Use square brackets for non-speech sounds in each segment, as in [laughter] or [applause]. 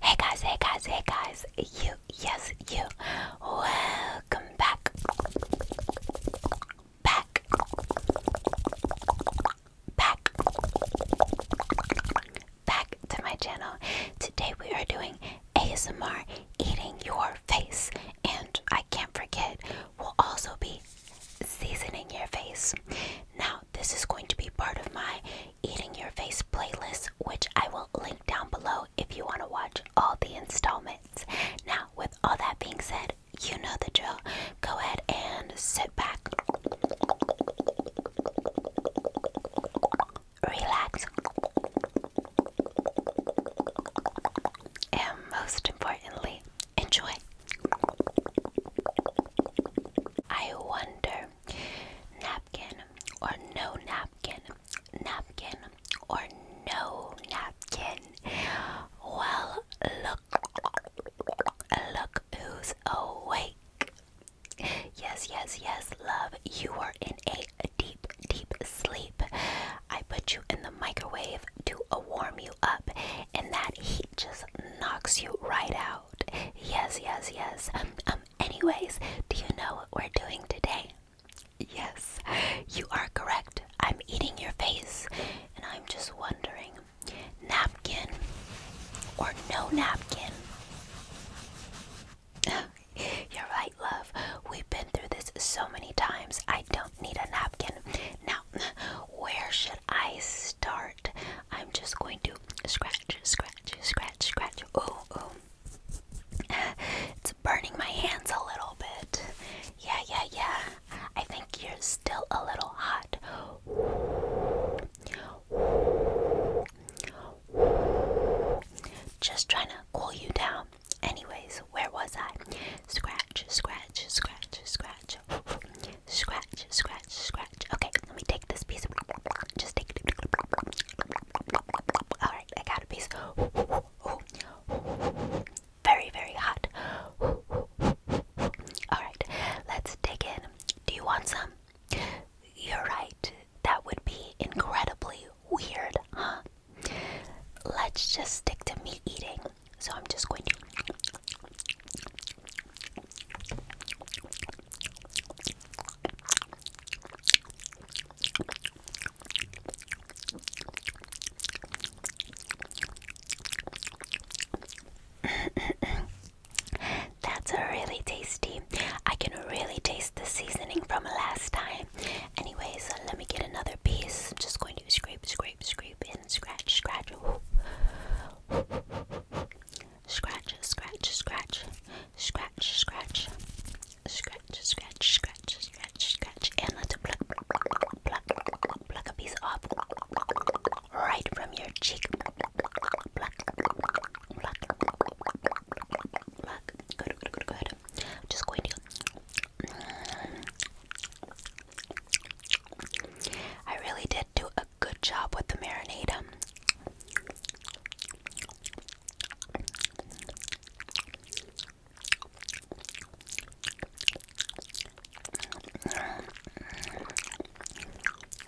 Hey guys, hey guys, hey guys, you, yes, you, welcome back, back, back, back to my channel. Today we are doing ASMR eating your face, and I can't forget, we'll also be seasoning your face. Now, this is going to be part of my Eating Your Face playlist, which I will link down below if you want to watch all the installments. Now, with all that being said, you know the drill. Go ahead and sit back, relax, and most importantly, enjoy. I wonder, napkin or no napkin, napkin or no napkin. Well, look, look who's awake. Yes, yes, yes, love, you are in a deep, deep sleep. I put you in the microwave to warm you up, and that heat just knocks you right out. Yes, yes, yes. Um, anyways, do you know what we're doing today? Yes, you are correct. I'm eating your face, and I'm just wondering napkin or no napkin? [laughs] You're right, love. We've been through this so many times. I don't need a napkin. Now, [laughs] where should I start? I'm just going to scratch, scratch, scratch, scratch. Oh, oh. [laughs] it's burning my hands a little bit. Yeah, yeah, yeah. I think you're still a little hot. Just trying to cool you down. Anyways, where was I? Scratch, scratch, scratch, scratch. [laughs] Scratch, scratch, scratch. Okay, let me take this piece. Just take it. Alright, I got a piece. Very, very hot. Alright, let's dig in. Do you want some? You're right. That would be incredibly weird, huh? Let's just stick to me eating. So I'm just going to. [laughs] That's a really tasty. I can really taste the seasoning from last time. Anyway, uh, let me get another piece. I'm just going to scrape, scrape, scrape, and scratch, scratch. Scratch, scratch, scratch, scratch, scratch, scratch, scratch, scratch, scratch, scratch, and let it pluck, pluck, pluck, pluck a piece off right from your cheek. Pluck, pluck, pluck, pluck. Good, good, good, good. Just going to. I really did do good job with the marinade. Um,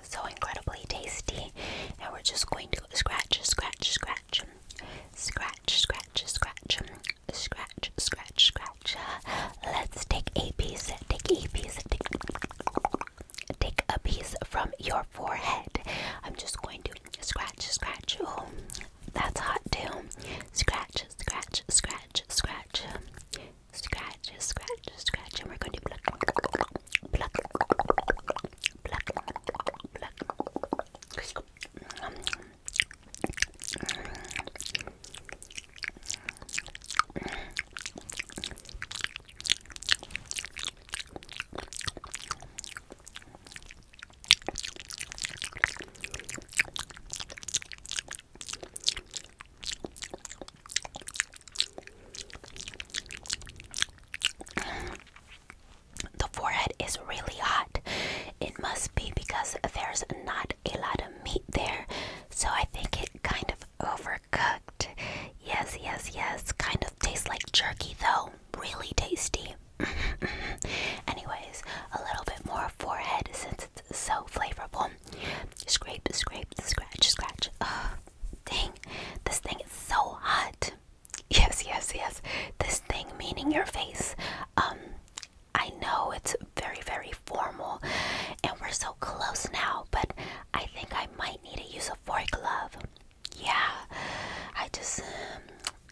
so incredibly tasty. Now we're just going to scratch, scratch, scratch, scratch, scratch, scratch, scratch, scratch, scratch. Let's take a piece, take a piece, take, a piece from your forehead. I'm just going to scratch, scratch. Oh, that's hot too. Scratch, scratch, scratch, scratch. Scratch, scratch, scratch. And we're going to pluck, pluck, pluck, pluck. Um, the forehead is really hot. It must be because there's not a lot of meat there, so I think it kind of overcooked. Yes, yes, yes. Kind of tastes like jerky though. Really tasty. [laughs] Anyways, a little bit more forehead since it's so flavorful. Scrape, scrape, scratch, scratch. Ugh, dang, this thing is so hot. [laughs] Yes, yes, yes. This thing, meaning your face. Um, I know it's very, very formal, and we're so close now, but I think I might need to use a fork glove. Yeah, I just um,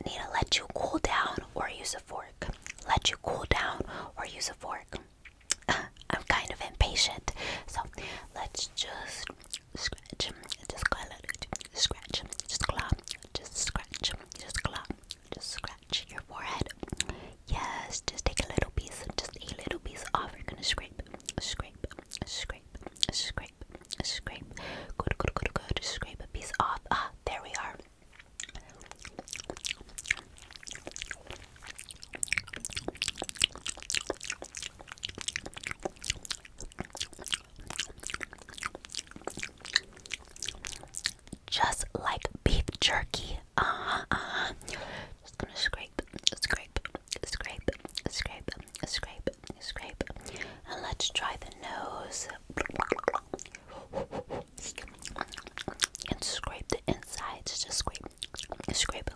need to let you cool down or use a fork. Let you cool down or use a fork. [laughs] I'm kind of impatient, so let's just scratch, just scratch, just claw, just scratch, just claw, just scratch your forehead, Yes, just take a little piece, just a little piece off. You're gonna scrape, scrape, scrape, scrape, scrape. Good, good, good, good. Scrape a piece off. Ah, there we are. Just like beef jerky, uh huh, uh huh. Just gonna scrape, scrape, scrape, scrape, scrape, scrape. And let's try the nose. And scrape the inside. Just scrape, scrape.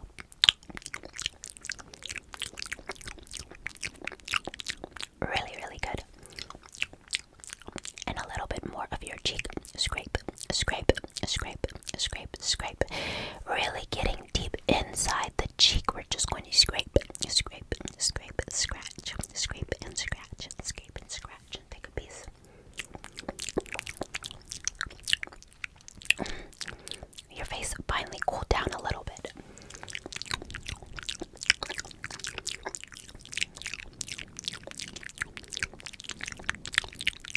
Really, really good. And a little bit more of your cheek. Scrape, scrape, scrape, scrape, scrape. Really getting deep inside the cheek. We're just going to scrape, scrape, scrape, scratch, scrape and scratch, scrape and scratch, and take a piece. Your face finally cooled down a little bit.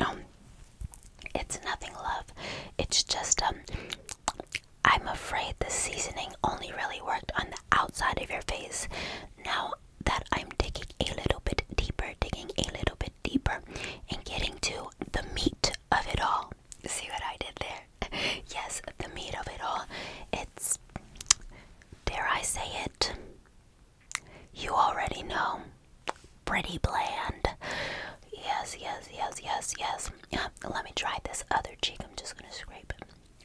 Um, it's nothing, love. It's just um, I'm afraid the seasoning only really worked on the outside of your face. Now that I'm digging a little bit deeper, digging a little bit deeper, and getting to the meat of it all. See what I did there? [laughs] yes, the meat of it all. It's, dare I say it, you already know pretty bland. Yes, yes, yes, yes, yes. Yeah, let me try this other cheek. I'm just gonna scrape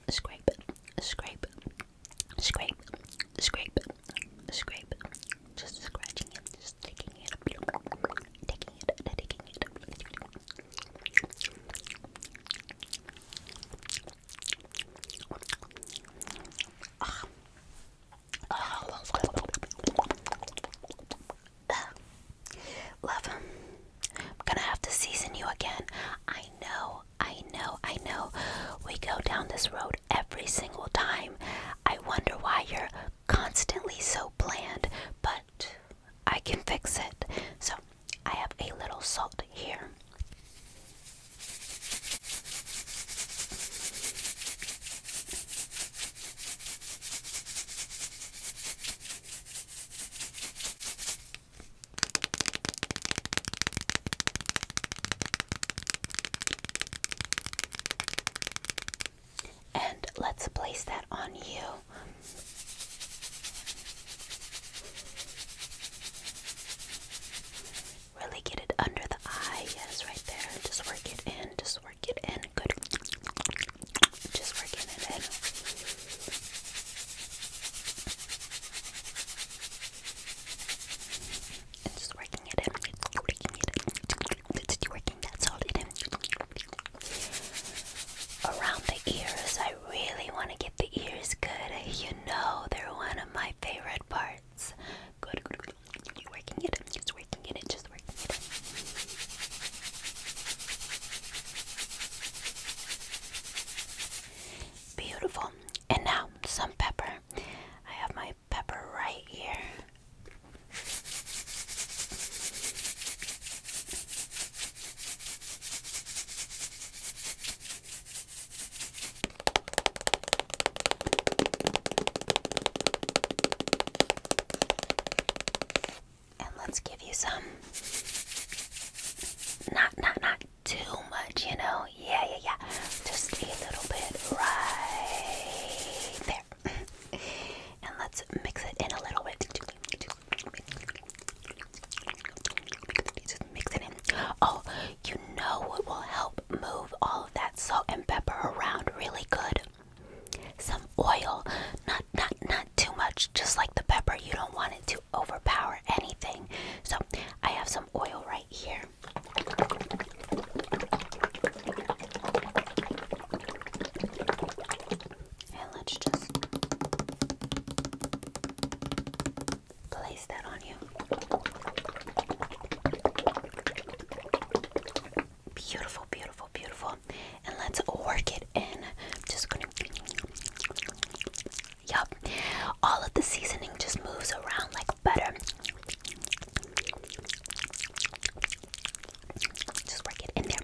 it, scrape it, scrape it, scrape it, scrape it, scrape Just scratching it, just taking it, taking it, taking it. Ah. [sighs] Love him. I'm gonna have to season you again. I know, I know, I know. We go down this road every single time. I wonder why you're constantly so bland, but I can fix it. So I have a little salt here. And let's place that on you. Really get it under the eye. Yes, right there. Just work it in. Just just work it in. Good. Just working it in. And just working it in. Working it in. It's working. That's all it is. Around the ears, I really want to get the ears good. You know, they're one of my favorite parts. Good, good, good. you working it. Just working it. Just working Beautiful. And now some pepper. I have my pepper right here. And let's give you some. Not, not, not too much, you know? Yeah, yeah, yeah. Just a little bit right there. [laughs] and let's mix it in a little bit. Just mix it in. Oh, you know what will help move all of that salt and pepper around really good. Some oil, not not not too much, just like the pepper. You don't want it to overpower anything. So I have some oil right here. And let's just place that on you. Beautiful, beautiful, beautiful. And let's work it in. Just gonna. yep. All of the seasoning just moves around like butter. Just work it in there.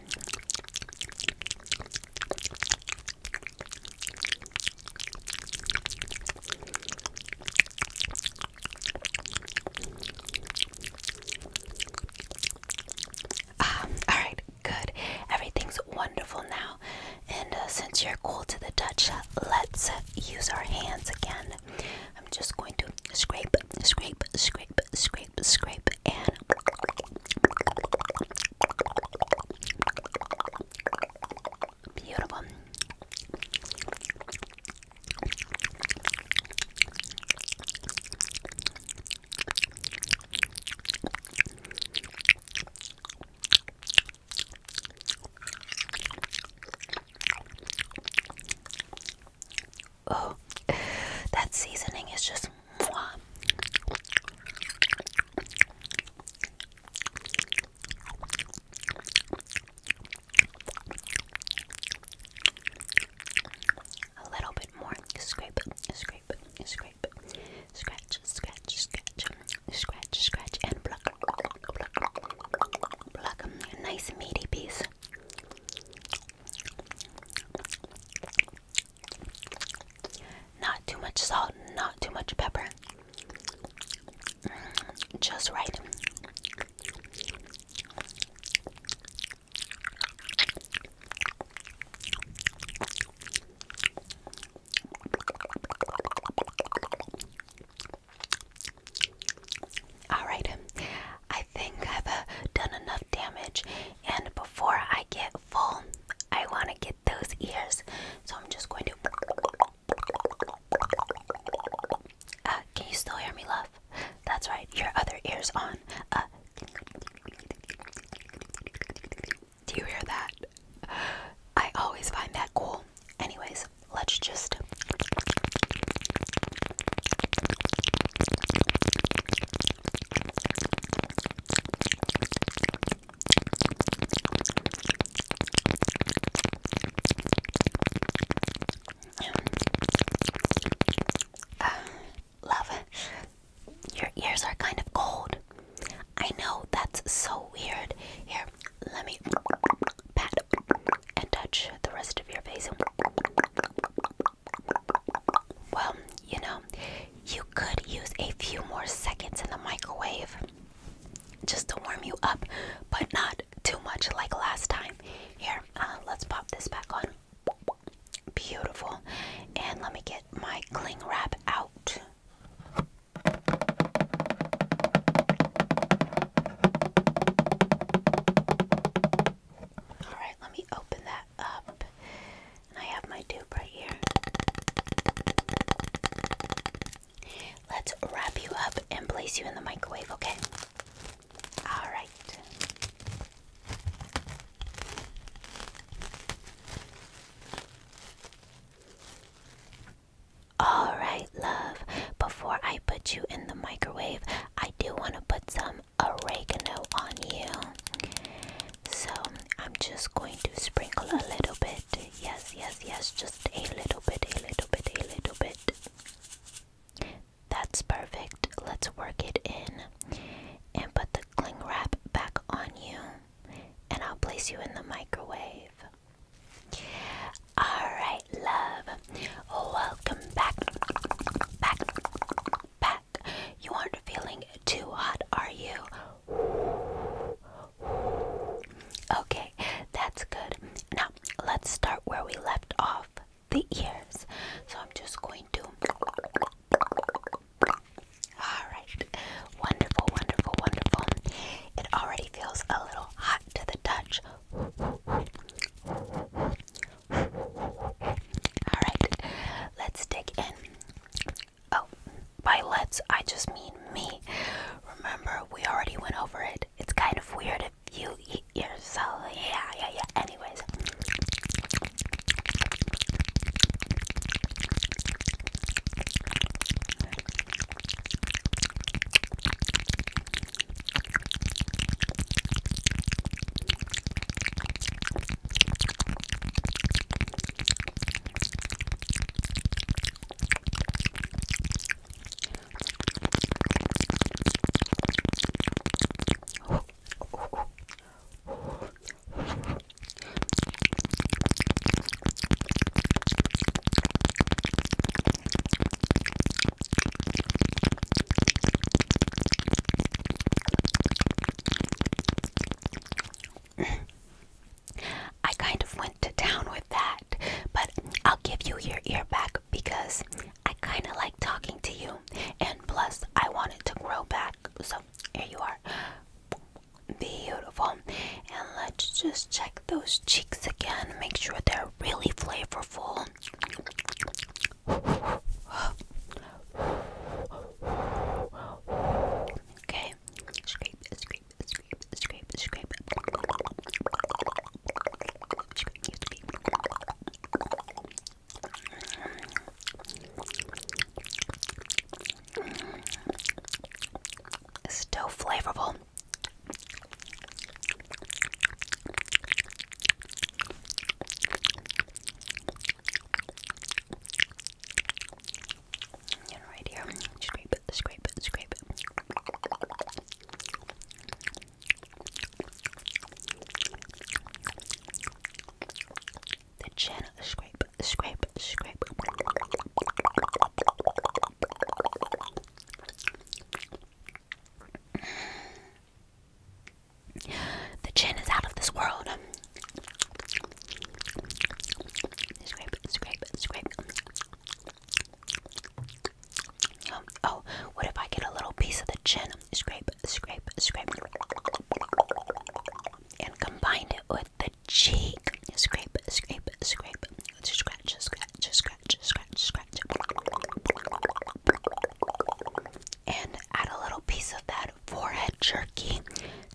Ah, Alright, good. Everything's wonderful now. And uh, since you're cool to the touch, let's use our hands again. I'm just going to scrape, scrape, scrape, scrape, scrape, and. Beautiful. Oh, [laughs] that seasoning is just mwah. A little bit more. Scrape, scrape, scrape, scratch, scratch, scratch, scratch, scratch, and pluck, pluck, pluck, nice meaty piece. Not too much salt, not too much pepper just right. Alright, I think I've uh, done enough damage, and before I get full, I want to get those ears. So I'm just going to. Uh, can you still hear me, love? That's right, your other ear's on. Uh, do you hear that? I always find that cool. Anyways, let's just. Uh, love, your ears are kind of cold. I know that's so weird. Here, let me pat and touch the rest of your face. Well, you know, you could use a few more seconds in the microwave just to warm you up, but not too much like last time. Here, uh, let's pop this back on. Beautiful. And let me get my cling wrap out. Alright, let me open that up. And I have my dupe right here. Let's wrap you up and place you in the microwave, okay? All right. All right, love. Before I put you in the microwave, I do want to put some oregano on you. So, I'm just going to sprinkle a little bit. Yes, yes, yes, just a little bit, a little bit, a little bit. That's perfect. Let's work it in and put the cling wrap back on you, and I'll place you in the microwave. Alright, love. Welcome back. Back. Back. You aren't feeling too hot, are you? Okay, that's good. Now let's start where we left off the ears. So I'm just going to. Alright, wonderful, wonderful, wonderful. It already feels a little hot to the touch. Alright, let's dig in. Oh, by let's, I just mean me. Remember, we already went over it it's kind of weird if you eat yourself. Yeah, yeah, yeah. Anyways. I kind of went to town with that. But I'll give you your ear back because I kind of like talking to you. And plus, I want it to grow back. So here you are. Beautiful. And let's just check those cheeks again. Make sure they're really flavorful. Okay, scrape, scrape, scrape, scrape. Still flavorful. And right here, scrape, scrape, scrape. The channel scrape, scrape, scrape. The chin is out of this world. Scrape, scrape, scrape. Oh, what if I get a little piece of the chin, scrape, scrape, scrape, and combine it with the cheek? Scrape, scrape, scrape, scratch, scratch, scratch, scratch, scratch, and add a little piece of that forehead jerky.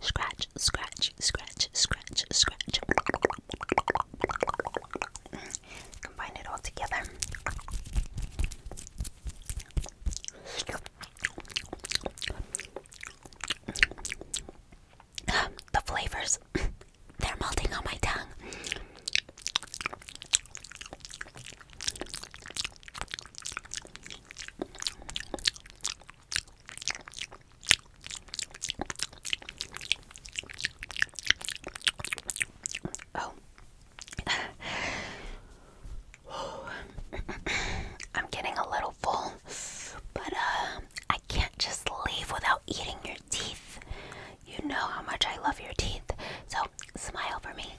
Scratch, scratch, scratch, scratch, scratch. Mm combine it all together. The flavors, they're melting on my tongue. Oh. [sighs] I'm getting a little full, but uh, I can't just leave without eating your teeth. You know how much I love your teeth, so smile for me.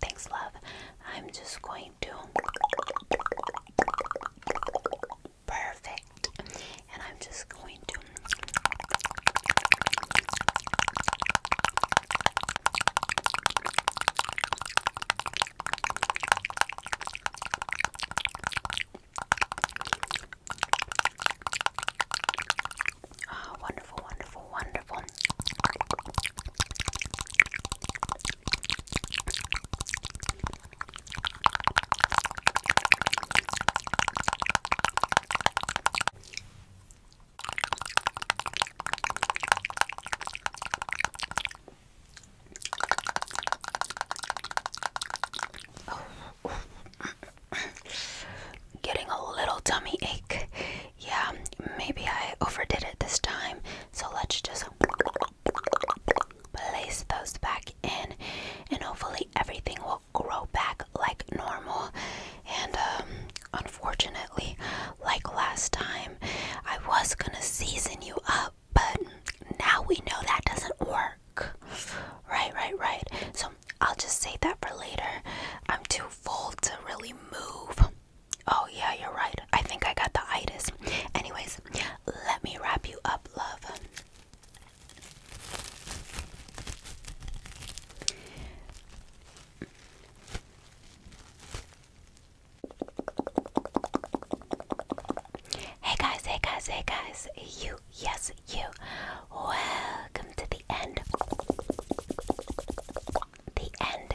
Thanks, love. I'm just going to perfect. And I'm just going to Ah, wonderful, wonderful, wonderful. [laughs] Getting a little tummy ache. Yeah, maybe I overdid it this time. So let's just Place those back in, and hopefully, everything will grow back like normal. And um, unfortunately, like last time, I was gonna season you up, but now we know that doesn't work. Right, right, right. So, I'll just save that for later. I'm too full to really move. Oh, yeah, you're right. I think I got the itis. Anyways, let me wrap you up, love. Hey guys, hey guys, hey guys, you, yes, you. Welcome to the end. The end